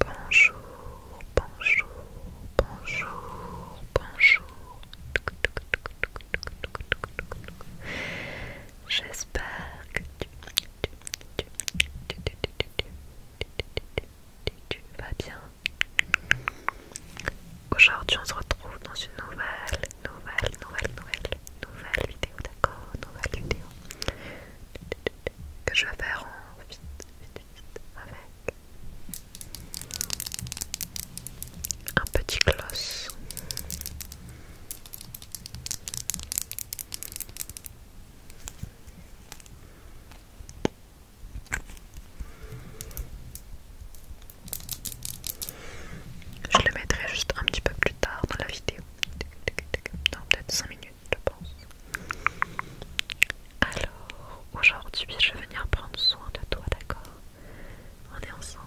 Bonjour, bonjour, bonjour, bonjour. J'espère que tu, vas bien. Aujourd'hui, on se retrouve dans une nouvelle, nouvelle, nouvelle, nouvelle nouvelle vidéo, d'accord Nouvelle vidéo que je vais faire en vite, avec un petit gloss. Je le mettrai juste un petit peu plus tard dans la vidéo dans peut-être 5 minutes, je pense. Alors, aujourd'hui, je vais venir prendre soin de toi, d'accord On est ensemble.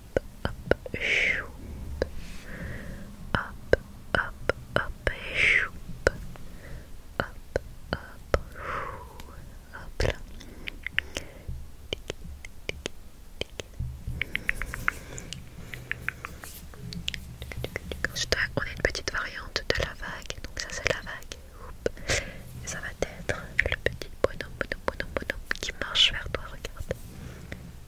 hop, choup. Hop, hop, hop, choup. Hop, hop, chou. Hop là. On a une petite variante de la vague, donc ça c'est la vague. Et ça va être le petit bonhomme, bonhomme, bonhomme, bonhomme qui marche vers toi, regarde.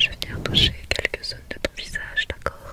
Je vais venir quelques zones de ton visage, d'accord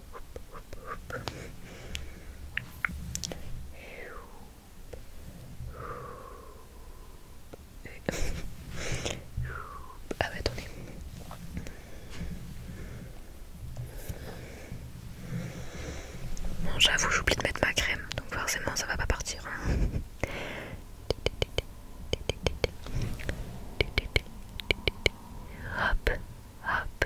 Ah bah attendez. Bon j'avoue j'oublie de mettre ma crème, donc forcément ça va pas partir. Hein. Hop, hop,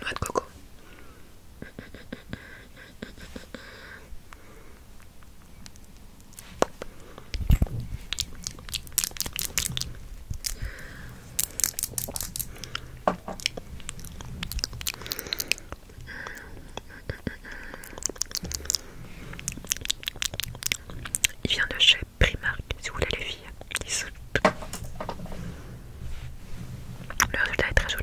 Noix de coco. Il vient de chez Primark si vous voulez les filles. Le résultat est très joli.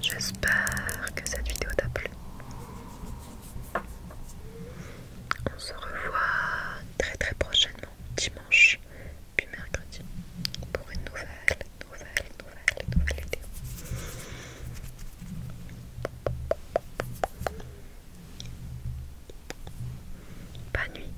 J'espère que cette vidéo t'a plu. On se revoit très très prochainement, dimanche puis mercredi, pour une nouvelle, nouvelle, nouvelle, nouvelle vidéo. Bonne nuit.